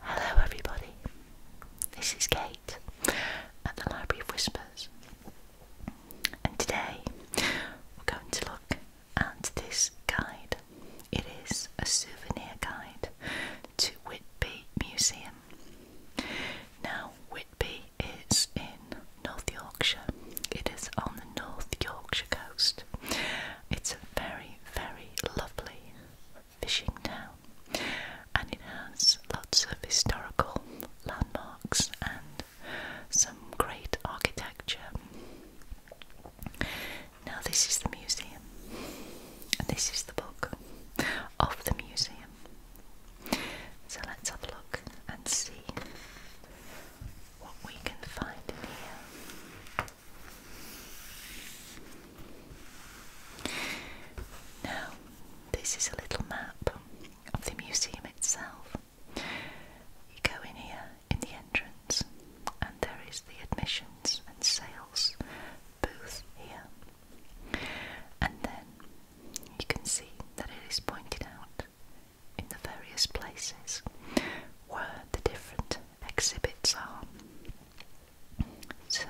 Hello, everybody. This is Kate at the Library of Whispers, and today we're going to look at this guide. It is a souvenir guide to Whitby Museum. Now, Whitby is in North Yorkshire, it is on the North Yorkshire coast, it's a very, very lovely fishing town and it has lots of historical landmarks and some great architecture. Now, this is the museum, this is the book of the museum. So, let's have a look and see what we can find here. Now, this is a little map of the museum itself. You go in here in the entrance, and there is the admissions and sales booth here. And then you can see that it is pointed out in the various places where the different exhibits are. So,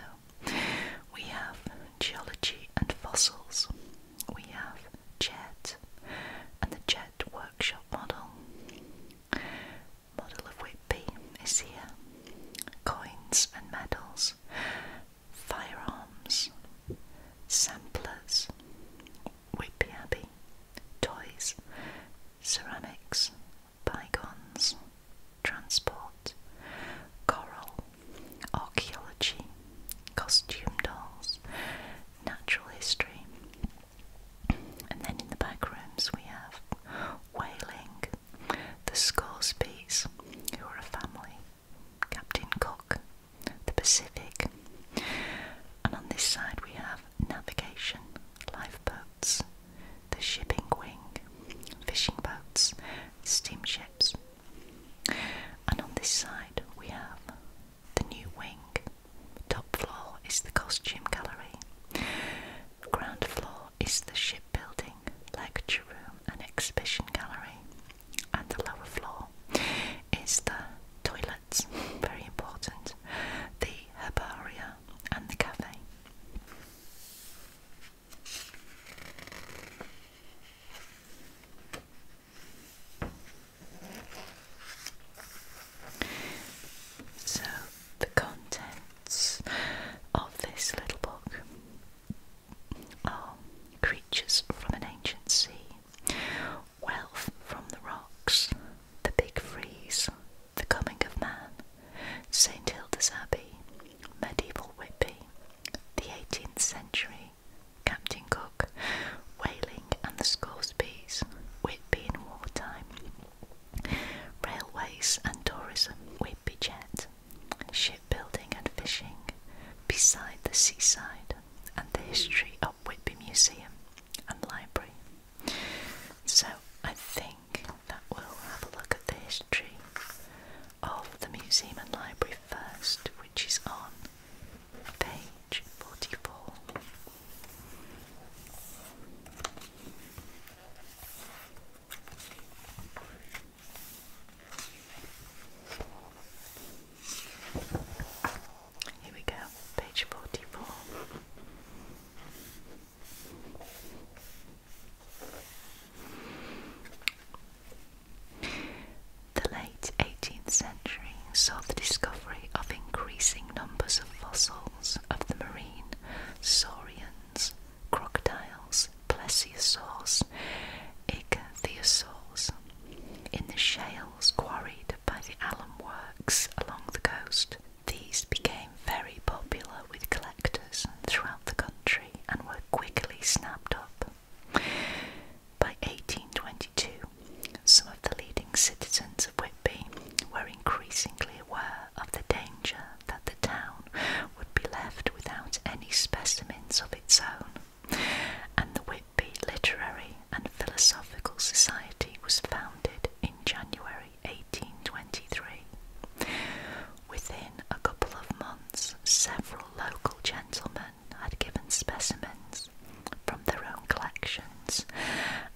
we have geology and fossils, we have JET and the JET workshop model, model of Whitby is here, coins and medals, firearms, samplers, we'd Toys, ceramics, bygones, transport, coral, archaeology, costume dolls, natural history. And then in the back we have Whaling, the Scoresbys, who a family, Captain Cook, the Pacific. And on this side we have navigation, lifeboats, the shipping wing, fishing boats, steamships. And on this side we have the new wing. Top floor is the costume gallery. Ground floor is the shipbuilding, lecture room, and exhibition gallery. And the lower floor is the toilets, very important. The herbaria and the cafe. So, the contents of this little book are creatures from an ancient sea, wealth from the rocks, the big freeze, the coming of man, St Hilda's Abbey, medieval Whitby, the 18th century, Captain Cook, whaling and the Scots bees, Whitby in wartime, railways and tourism, Whitby jet, shipbuilding and fishing, beside the seaside, and the history of Whitby Museum and Library. So I think that we'll have a look at the history of the museum and library first, which is on page 44. Here we go, page 44. The late 18th century saw the discovery of increasing numbers of fossils of the marine saurians, crocodiles, plesiosaurs, ichthyosaurs in the shales quarried by the alum works along the coast. These became very popular with collectors throughout the country and were quickly snapped up. By 1822, some of the leading citizens of Whitby were increasingly aware of the danger that the town would be left without any specimens of its own, and the Whitby Literary and Philosophical Society was founded in January 1823. Within a couple of months, several local gentlemen had given specimens from their own collections,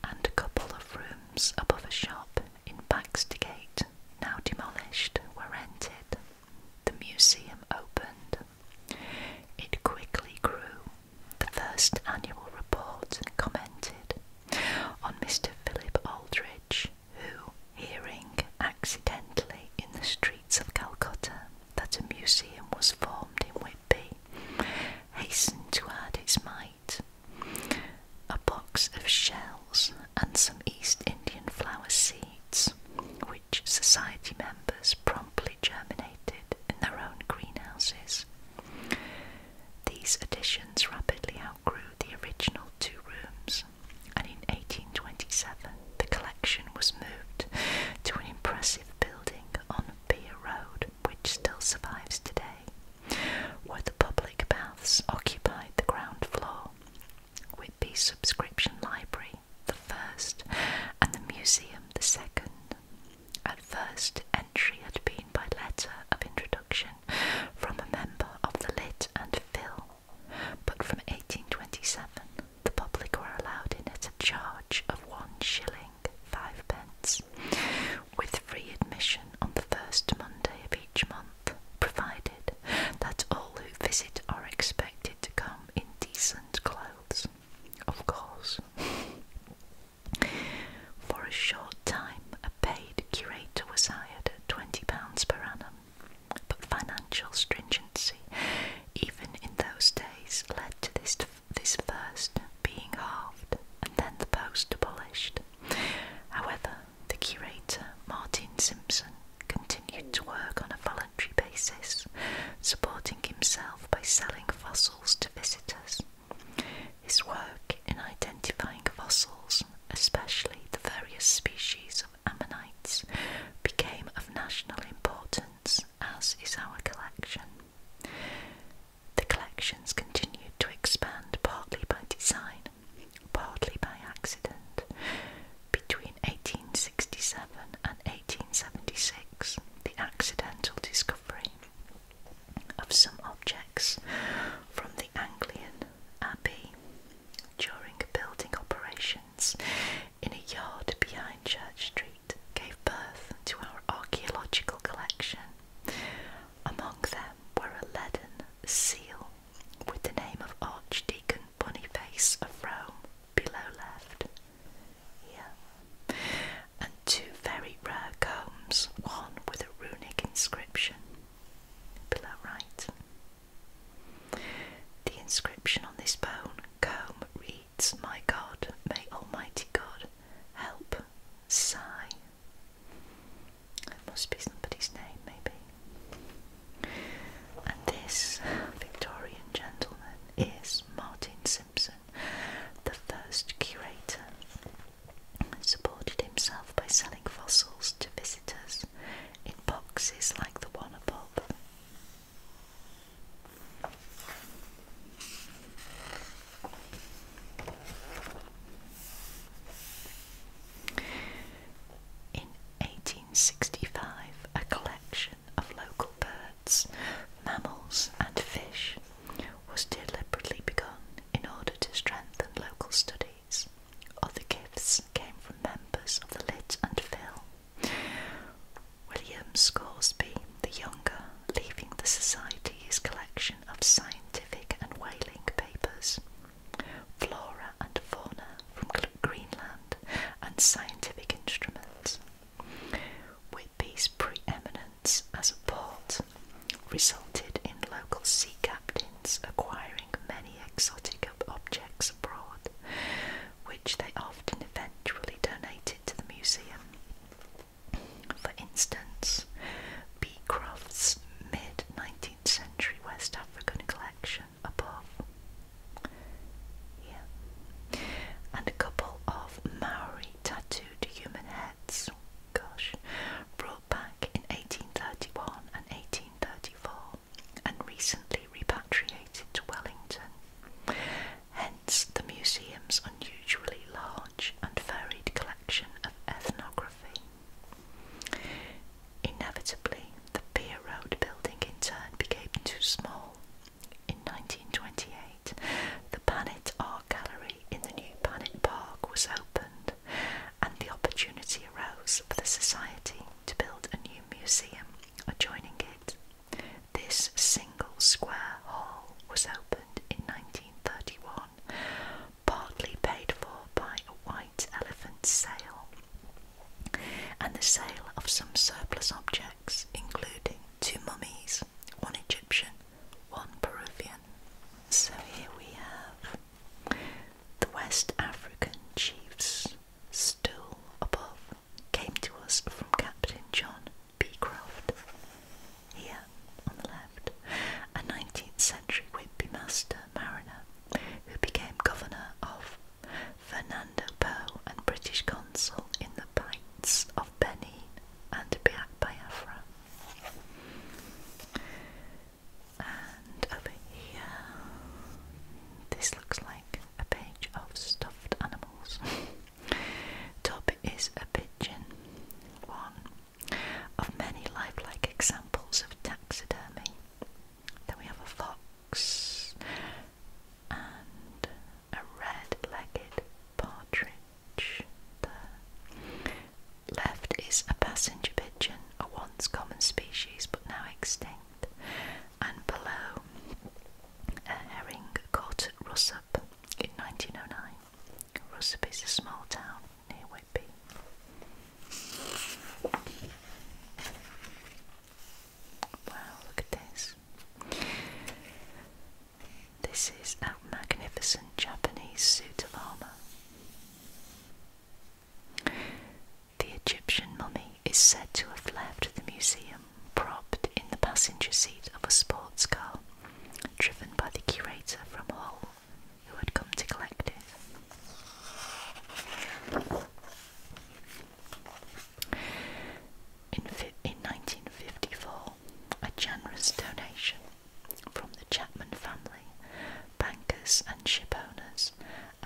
and a couple of rooms above a shop in Baxtergate, now demolished, were rented. The museum opened. It quickly grew the first annual report commented on Mr. Philip Aldridge, who, hearing accidentally in the streets of Calcutta that a museum was formed in Whitby, hastened to add its mite. A box of shells and some East Indian flower seeds, which society members promptly germinated in their own greenhouses. These additions rapidly outgrew the original two rooms, and in 1827 the collection was moved to an impressive building on Pier Road, which still survives today, where the public baths occupied the ground floor. with the subscription library, the first, and the museum, the second. At first, entry had been by letter of introduction from a member of the Lit and Phil, but from 1827 the public were allowed in at a charge of one shilling five pence, with free admission on the first Monday of each month, provided that all who visit are expected to come in decent clothes. Of course. For a short time, a paid curator was hired at £20 per annum, but financial stringency, even in those days, led to this, this first being halved and then the post abolished. However, the curator, Martin Simpson, continued to work on a voluntary basis, supporting himself by selling fossils to visitors. His work in identifying fossils, especially the various species of ammonites, became of national importance, as is our collection. The collections continued to expand partly by design, partly by accident. Between 1867 and 1876, the accidental discovery of some objects from the Anglian Abbey during building operations in a yard behind Church Street gave birth to our archaeological collection. Among them were a leaden seal with the name of Archdeacon Boniface of Rome below left and two very rare combs, one with a runic inscription below right. The inscription on this bone comb reads, My God, may Almighty God help, sigh. It must be somebody's name, maybe. And this Victorian gentleman is Martin C. Simpson, the first curator, supported himself by selling fossils to visitors in boxes like the one above. In 1865, a collection of local birds, mammals, and fish was deliberately begun in order to strengthen local studies. Other gifts came from members of the Lit and Phil. William Scoresby the Younger, leaving the society his collection of scientific and whaling papers, flora and fauna from Greenland, and scientific instruments. With Whitby's preeminent as a port resulted in local sea captains acquiring many exotic objects abroad, which they often eventually donated to the museum. For instance, Beecroft's mid 19th century West African collection above. Yeah. And a couple of Maori tattooed human Reds, gosh, brought back in 1831 and 1834 and recently repatriated to Wellington. Hence the museum's unusually large and varied collection of ethnography. Inevitably, the Pier Road building in turn became too small. In 1928, the Planet Art Gallery in the new Planet Park was opened, and the opportunity arose for the Society to build a new museum adjoining it. This single square hall was opened in 1931, partly paid for by a white elephant sale and the sale of some surplus objects, including two mummies, one Egyptian one Peruvian. So here we have the West African chiefs still above came to us from Captain John Beecroft here on the left, a 19th century Whitby mariner who became governor of Fernando Po and British consul in the Bights of Benin and Biafra. And over here, this looks like a page of stuffed animals. Top is a pigeon, one of many lifelike examples of taxidermy. Then we have a fox a red-legged partridge there. Left is a passenger pigeon, a once common species but now extinct, and below a herring caught at Russup in 1909. Russup is a small town near Whitby. Wow, look at this. This is a magnificent Japanese suit of armour. The Egyptian mummy is said to have left the museum propped in the passenger seat of a sports car, driven by the curator from Hull, who had come to collect it in, 1954, a generous donation from the Chapman family, bankers, and ship owners,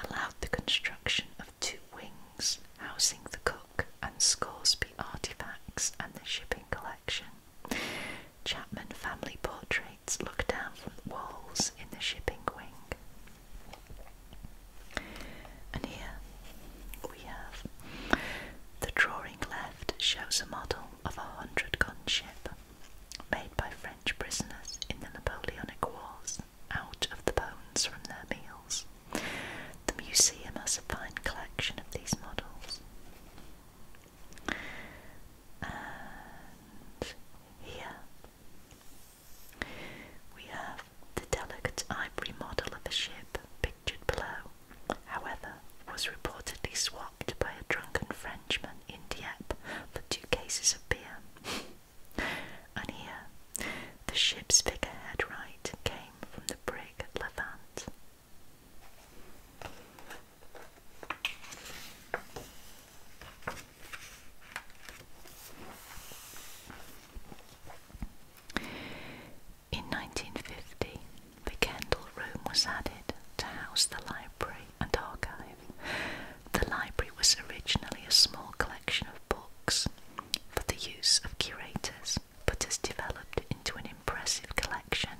allowed the construction of two wings housing the cook and Scoresby artifacts and the shipping collection. Chapman family portraits look down from the walls in the shipping wing. And here we have. The drawing left shows a model of a hundred gun ship made by French prisoners in the Napoleonic Wars out of the bones from their meals. The museum has a fine collection of these models. And here we have the delicate ivory model of a ship structured however, was reportedly swapped by a drunken Frenchman in Dieppe for two cases of beer. and here, the ship's figurehead right came from the brig Levant. In 1950, the Kendall Room was added to house the library and archive. The library was originally a small collection of books for the use of curators, but has developed into an impressive collection,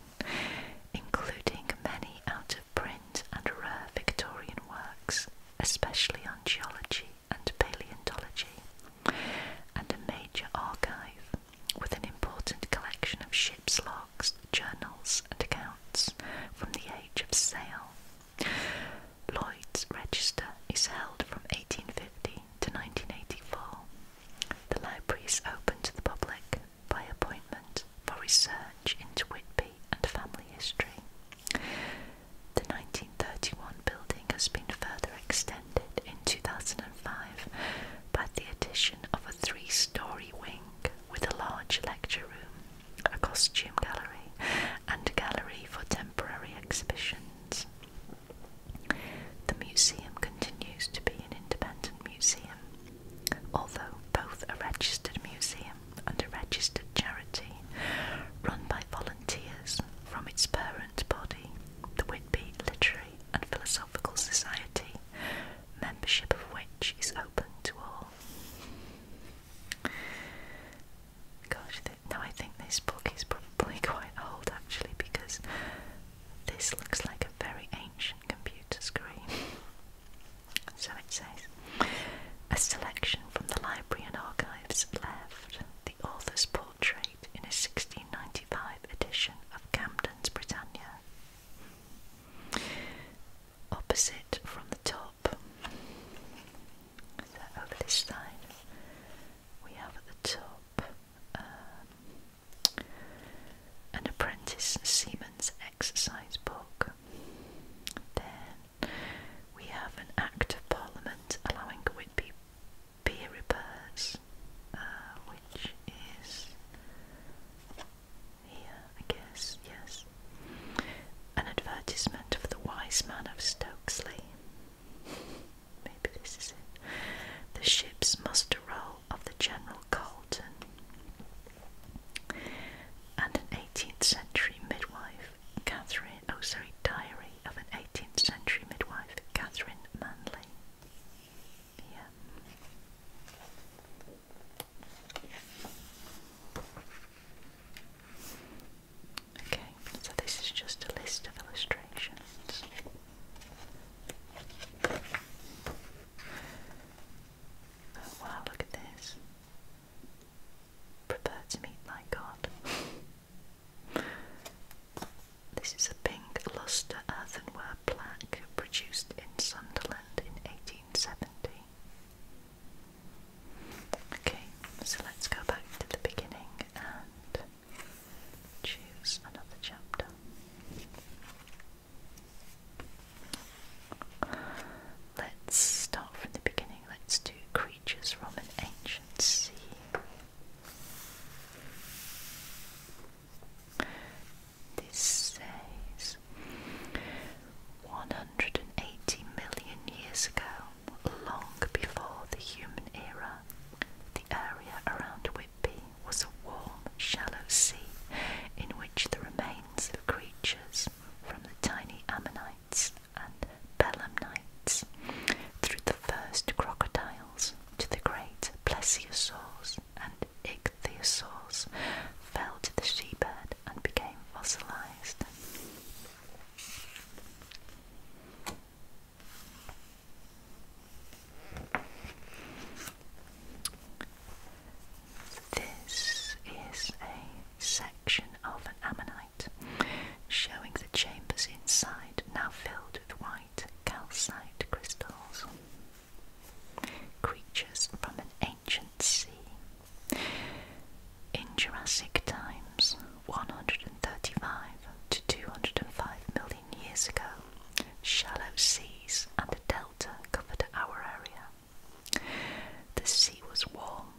including many out of print and rare Victorian works, especially on geology and paleontology, and a major archive with an important collection of ships' logs, journals, and accounts from the age of sail. Lloyd's Register is held from 1850 to 1984. The library is open to the public by appointment for research into Whitby and family history. The 1931 building has been further extended in 2005 by the addition of a three story wing with a large lecture room, a costume gallery, and a gallery for temporary exhibitions. The museum continues to be an independent museum, although both a registered museum and a registered charity, run by volunteers from its parent body, the Whitby Literary and Philosophical. Society, membership of which is open to all. Gosh, now I think this book is probably quite old actually because this looks like a very ancient computer screen. So it says, a selection from the library and archives left, the author's portrait in a 1695 edition of Camden's Britannia. Opposite from the top, over this side, we have at the top um, an apprentice seaman's exercise book. Then we have an Act of Parliament allowing Whitby peer repairs, uh, which is here, I guess, yes, an advertisement for the wise man of Stokesley. Maybe this is it. The ship's muster roll of the General Colton and an 18th century midwife, Catherine, oh sorry, diary of an 18th century midwife, Catherine Manley. Okay, so this is just a list of illustrations. Oh wow, look at this. Prepare to meet my God. This is a pink lustre earthenware plaque produced in Sunderland in 1870. Okay, so let's go back to the beginning and choose another chapter. Let's start from the beginning. Let's do creatures from an ancient sea. This says 180 million years ago, long before the human era, the area around Whitby was a warm, shallow sea in which the remains of creatures from the tiny ammonites and belemnites through the first crocodiles to the great plesiosaurs and ichthyosaurs fell to the seabed and became fossilized. This is a section of an ammonite showing the chambers inside now filled of white calcite crystals. Creatures from an ancient sea. In Jurassic times, 135 to 205 million years ago, shallow seas and a delta covered our area. The sea was warm,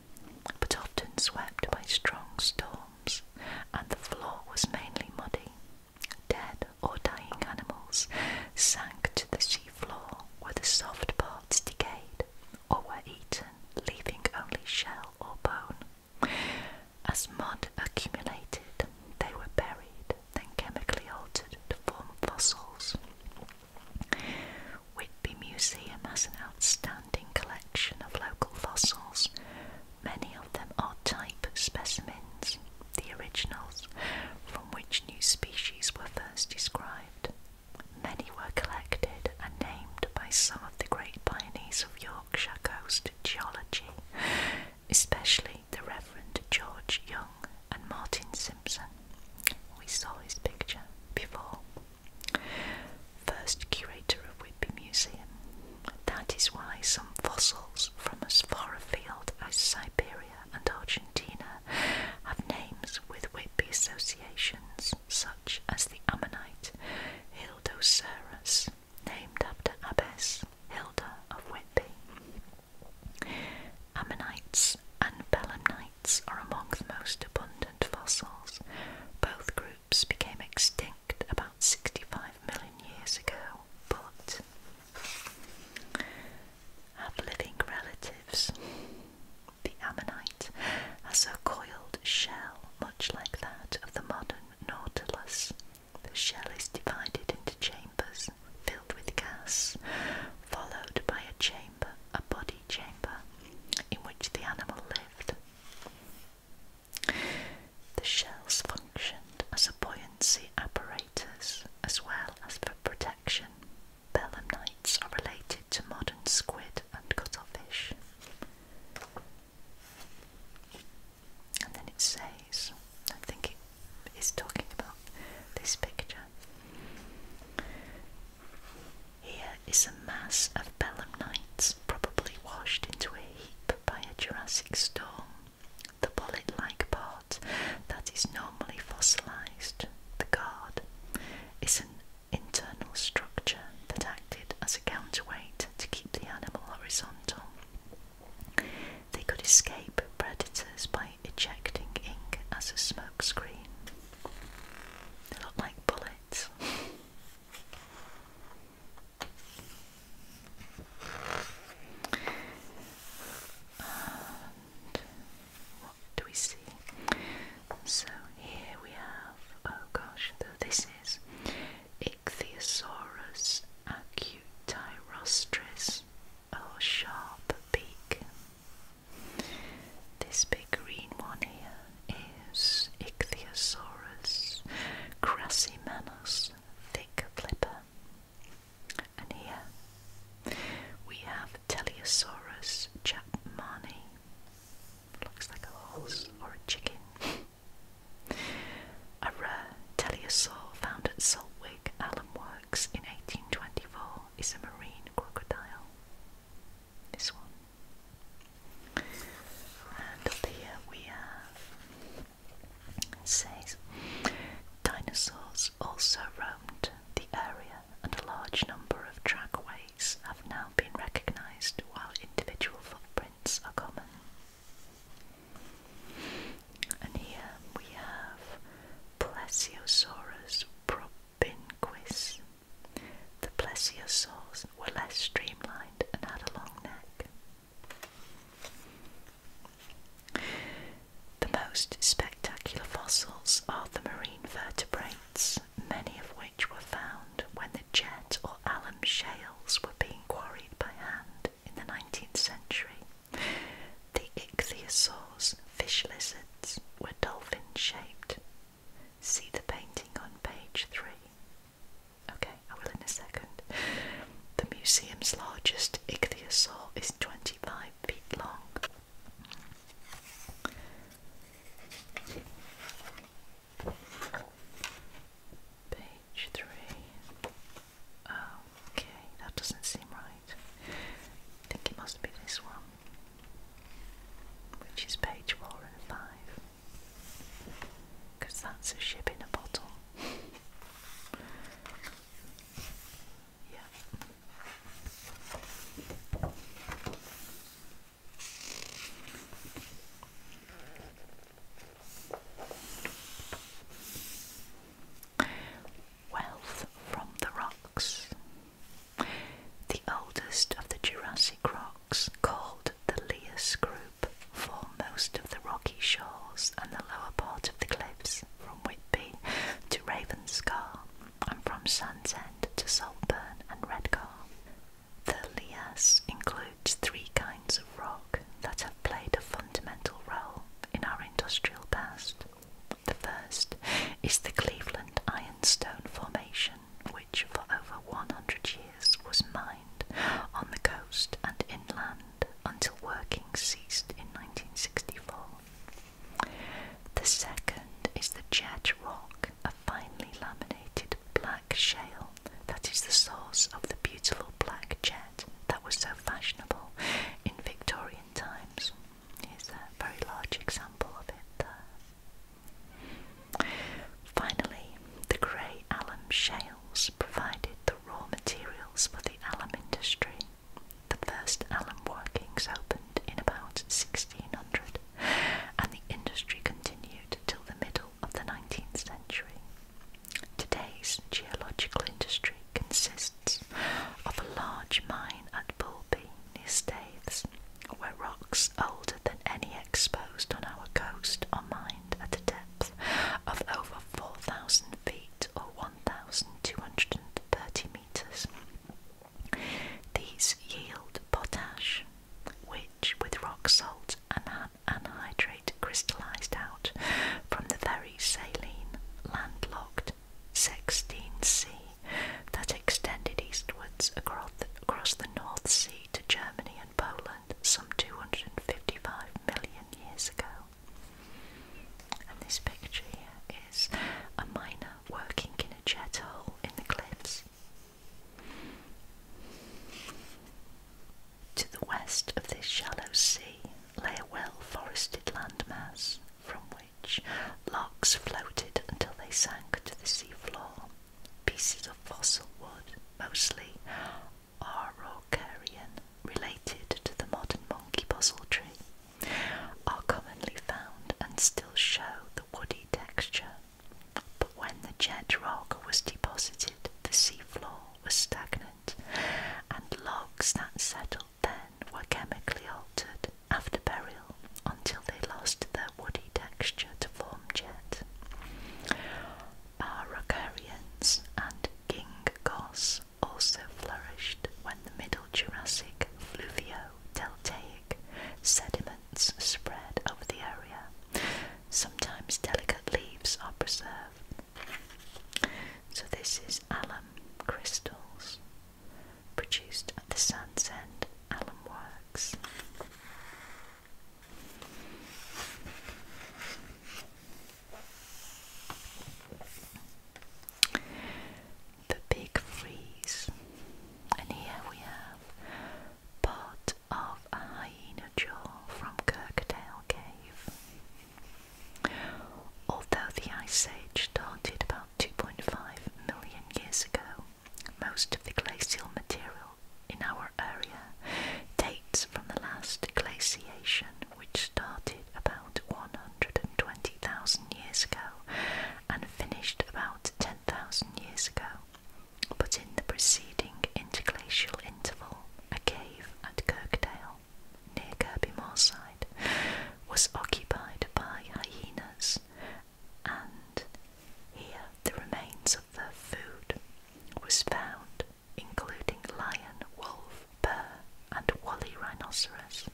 but often swept by strong storms, and the floor was mainly muddy. Dead or dying animals sank to the seafloor where the soft parts decayed or were eaten, leaving only shell or bone. As mud accumulated, they were buried, then chemically altered to form fossils. Whitby Museum has an outstanding collection of local fossils, Many of them are type specimens, the originals, from which new species were first described. Many were collected and named by some of the great pioneers of Yorkshire coast geology, especially the Reverend George Young and Martin Simpson. We saw his picture before. First curator of Whitby Museum, that is why some fossils from as far afield as Siberia and Argentina have names with Whitby associations, such as the ammonite Hildocerus, named after Abbess Hilda of Whitby. Ammonites and belemnites are among the most abundant fossils. Both groups became extinct about 65 million years ago, but had living relatives. The ammonite has a coiled shell much like that of the modern nautilus. The shell is divided into chambers filled with gas, followed by a chamber, a body chamber, in which the animal lived. The shells functioned as a buoyancy apparatus as well as for protection. Belemnites are related to modern squid and cuttlefish. And then it says, I think it is talking about this picture. Here is a mass of belemnites, probably washed into a heap by a Jurassic storm the bullet-like part that is normally fossilized, the guard, is an internal structure that acted as a counterweight to keep the animal horizontal. They could escape predators by ejecting ink as a smokescreen. They look like bullets. what do we see? So here we have, oh gosh, this is Ichthyosaurus acutirostris, or sharp beak. This big green one here is Ichthyosaurus crassimanus thick flipper. And here we have Teleosaurus chapmani. Looks like a horse or a chicken. a rare teleosaur found at Saltwick Allen Works in 1824 is a marine crocodile. This one. And up here we have says Dinosaurs also roamed the area, and a large number of trackways have now been recognised while individual footprints are common. And here we have Plesiosaurus propinquis. The plesiosaurs were less streamlined and had a long neck. The most spectacular fossils are the marine vertebrates, many of which were found when the jet or alum shales were being quarried by hand in the 19th century. The ichthyosaurs, fish lizards, were dolphin shaped. See the painting on page 3. Okay, I will in a second. The museum's largest ichthyosaur is 25 feet long. Page three. Oh, okay, that doesn't seem right. I think it must be this one, which is page four and five because that's a ship in a bottle. yeah. Wealth from the rocks. The oldest of the Jurassic rocks, called the Leas Group, for most of the rocky shores and the lower part of the cliffs from Whitby to Ravenscar and from Sandsend to Saltburn and Redcar. The lias includes three kinds of rock that have played a fundamental role in our industrial past. The first is the Cleveland Ironstone Formation, which for over 100 years was mined on the coast and inland until working ceased in 1964. The second is the jet rock, a finely laminated black shale that is the source of the beautiful black jet that was so fashionable in Victorian times. Here's a very large example of it Finally, the grey alum shale provided the raw materials for the alum industry. The first alum workings opened in about 1600 and the industry continued till the middle of the 19th century. Today's geological industry consists of a large mine at Bulby near Staithes, where rocks older than any exposed on our coast are mined at a depth of over 4,000 feet or 1,230 metres. These yield potash, which with rock salt and anhydrate crystallised out from the very saline, landlocked 16C that extended eastwards across across the North Sea to Germany and Poland some 255 million years ago. And this picture here is a miner working in a jet in the cliffs. To the west of this shallow sea lay a well forested landmass from which logs floated until they sank to the seafloor. Pieces of fossil wood, mostly are related to the modern monkey puzzle tree, are commonly found and still show the woody texture. But when the jet rock was deposited, the seafloor was stagnant, and logs that settled then were chemically altered after burial until they lost their woody texture to form jet. Araucarians and King-Gos also flourished when the Middle Jurassic fluvio-deltaic sediments spread over the area. Sometimes delicate leaves are preserved. So this is alum crystals produced at the Sands End Alum Works. The Big Freeze. And here we have part of a hyena jaw from Kirkdale Cave. Although the Ice Age started about 2.5 million years ago, most of the glacial material in our area dates from the last glaciation which started about 120,000 years ago and finished about 10,000 years ago, but in the preceding interglacial interval, a cave at Kirkdale, near Kirby Moorside, was occupied by hyenas, and here the remains of their food was found including lion, wolf, bear, and woolly rhinoceros.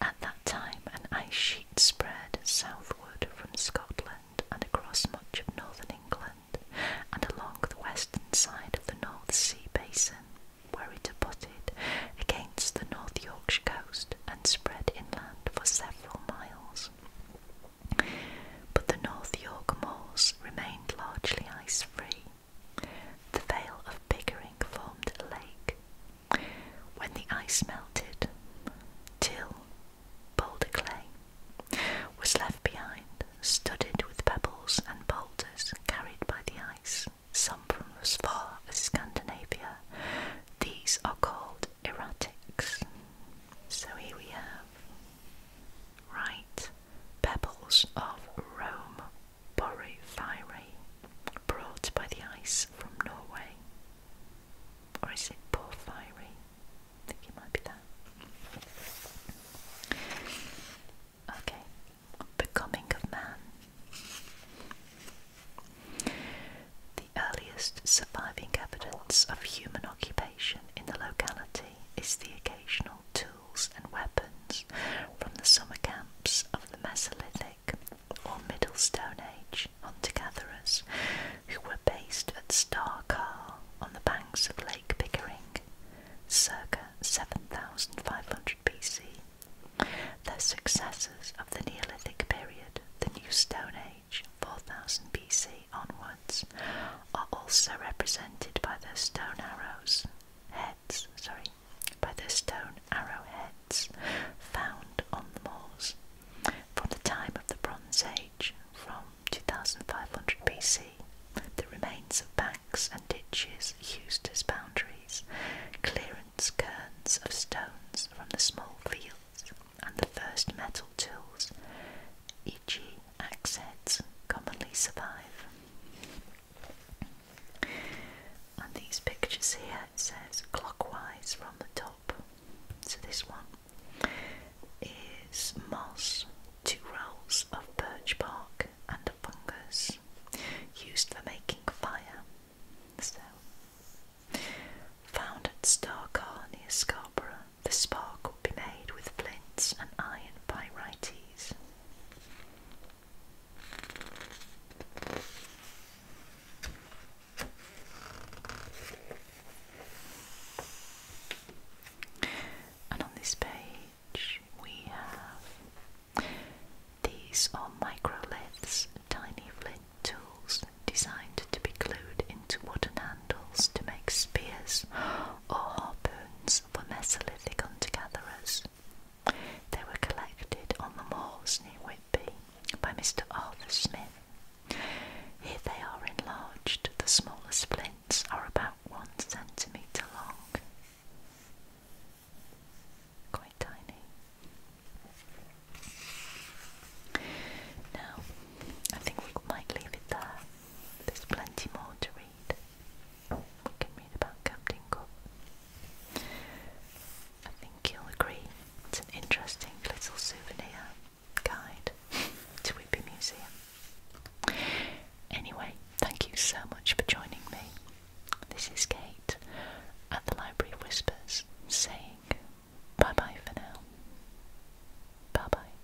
At that time, an ice sheet spread southward from Scotland and across much of northern England and along the western side of the North Sea basin, where it abutted against the North Yorkshire coast and spread inland for several miles but the North York moors remained largely ice free. The Vale of Pickering formed a lake. When the ice melted, till boulder clay was left behind, studded with pebbles and boulders carried by the ice, some from as far as Scandinavia. These are called erratics. So here we have right pebbles of Rome porphyry brought by the ice from Norway. Or is it porphyry? I think it might be that. Okay, Becoming of Man. The earliest surviving evidence of human occupation in the locality is the occasional tool and weapons from the summer camps of the Mesolithic or Middle Stone Age hunter gatherers who were based at Star Starkar on the banks of Lake Pickering circa 7500 BC. Their successors of the Neolithic period, the New Stone Age 4000 BC, are also represented by the stone arrows heads, sorry, by the stone arrow heads found on the moors from the time of the Bronze Age, from 2500 BC. The remains of banks and ditches used as boundaries, clearance cairns of stones from the small fields, and the first metal tools, e.g., axe commonly survive. And these pictures here, says clockwise from the top. So this one is moss, two rolls of birch bark, and a fungus used for making fire. So, found at Starcar near Scarborough the spark could be made with flints and iron pyrites. And on this page we have these are microliths, tiny flint tools designed to be glued into wooden handles to make spears or harpoons were Mesolithic hunter-gatherers. They were collected on the moors near Whitby by Mr. Arthur Smith. Here they are enlarged. The smaller splints are about one centimetre long. Quite tiny. Now, I think we might leave it there. There's plenty more to read. We can read about Captain Cook. I think you'll agree it's an interesting little souvenir guide to Whitby Museum. Anyway, thank you so much for joining me. This is Kate at the Library of Whispers saying bye bye for now. Bye bye.